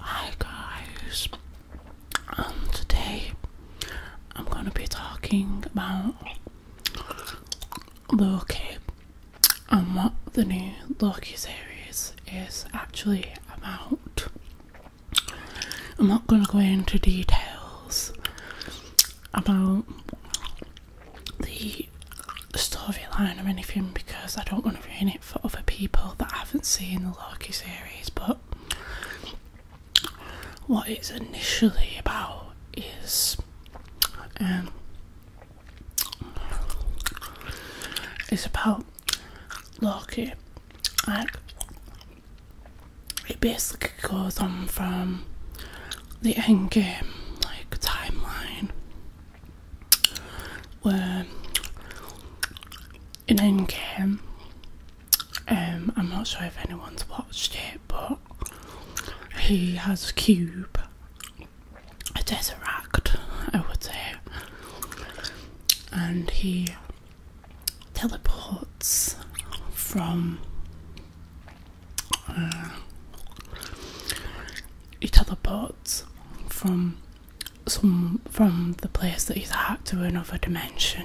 Hi guys, um, today I'm going to be talking about Loki and what the new Loki series is actually about. I'm not going to go into details about the storyline or anything because I don't want to ruin it for other people that haven't seen the Loki series. But what it's initially about is um, it's about Loki. Like, it basically goes on from the end game like timeline where in Endgame, um, I'm not sure if anyone's watched it, but he has a cube, a desert act, I would say, and he teleports from uh, each other parts from some from the place that he's at to another dimension.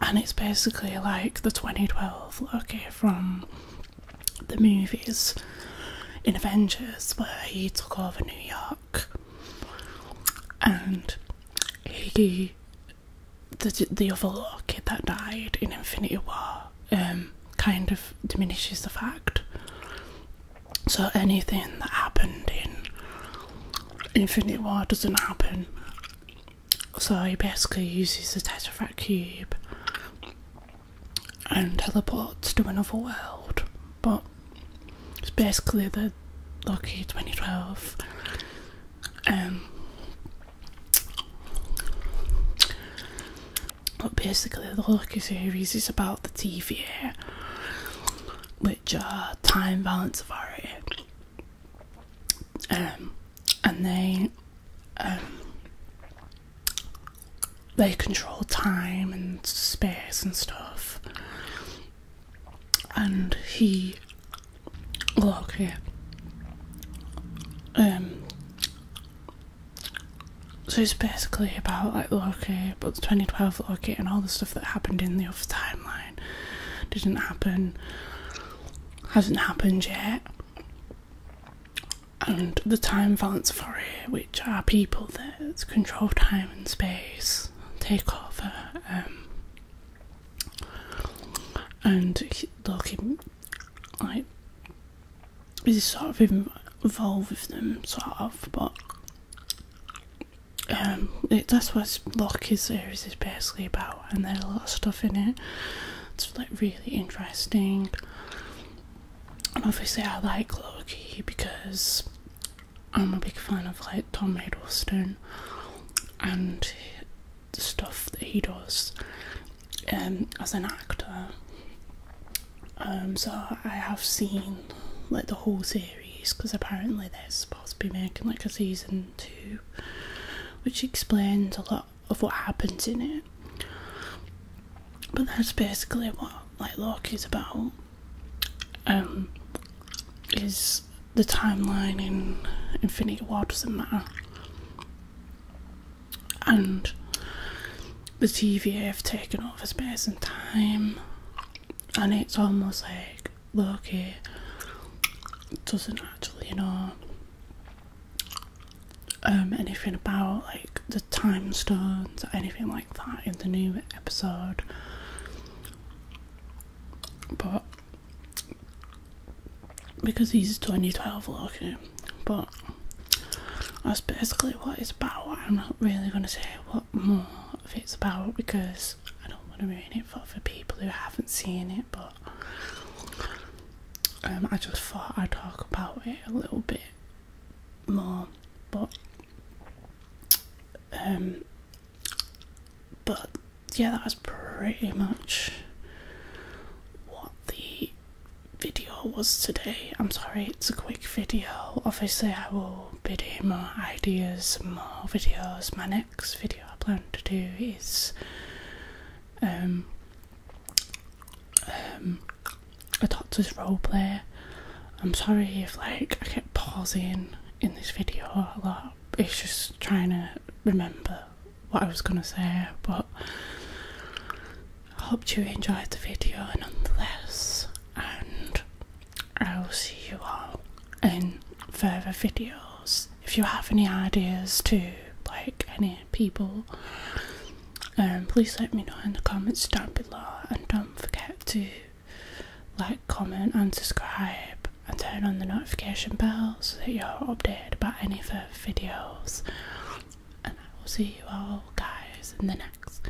And it's basically like the 2012 Loki from the movies in Avengers, where he took over New York and he the the other little kid that died in Infinity War um, kind of diminishes the fact. So anything that happened in Infinity War doesn't happen. So he basically uses the Tesseract cube and teleports to another world, but it's basically the Loki 2012. Um, but basically, the Loki series is about the TVA, which are Time Balance Authority. Um, and they um, they control time and space and stuff and he look here um, so it's basically about like Loki, but the 2012 Loki and all the stuff that happened in the other timeline didn't happen, hasn't happened yet. And the time valence for it, which are people that control time time and space take over. Um, and look, he, like, he's sort of involved with them, sort of, but um, that's what Lockie's series is basically about, and there's a lot of stuff in it. It's like really interesting. And obviously, I like Loki because I'm a big fan of like Tom Hiddleston and the stuff that he does um, as an actor. Um, so I have seen like the whole series because apparently they're supposed to be making like a season two, which explains a lot of what happens in it. But that's basically what like is about. Um, is the timeline in Infinity War doesn't matter, and the TVF taking taken over space and time, and it's almost like Loki doesn't actually know um, anything about like the time stones or anything like that in the new episode. But because he's 2012 looking, but that's basically what it's about. I'm not really going to say what more of it's about because I don't want to ruin it for, for people who haven't seen it. But um, I just thought I'd talk about it a little bit more, um, but yeah, that was pretty much what the video was today. I'm sorry, it's a quick video. Obviously, I will be doing more ideas, more videos. man next video I plan to do is um, um, a doctor's roleplay. I'm sorry if like I kept pausing in this video a lot. It's just trying to remember what I was gonna say, but I hope you enjoyed the video nonetheless, and I will see you all in further videos. If you have any ideas to like any people, um, please let me know in the comments down below. And don't forget to like, comment, and subscribe, and turn on the notification bell so that you're updated about any further videos. And I will see you all guys in the next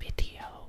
video.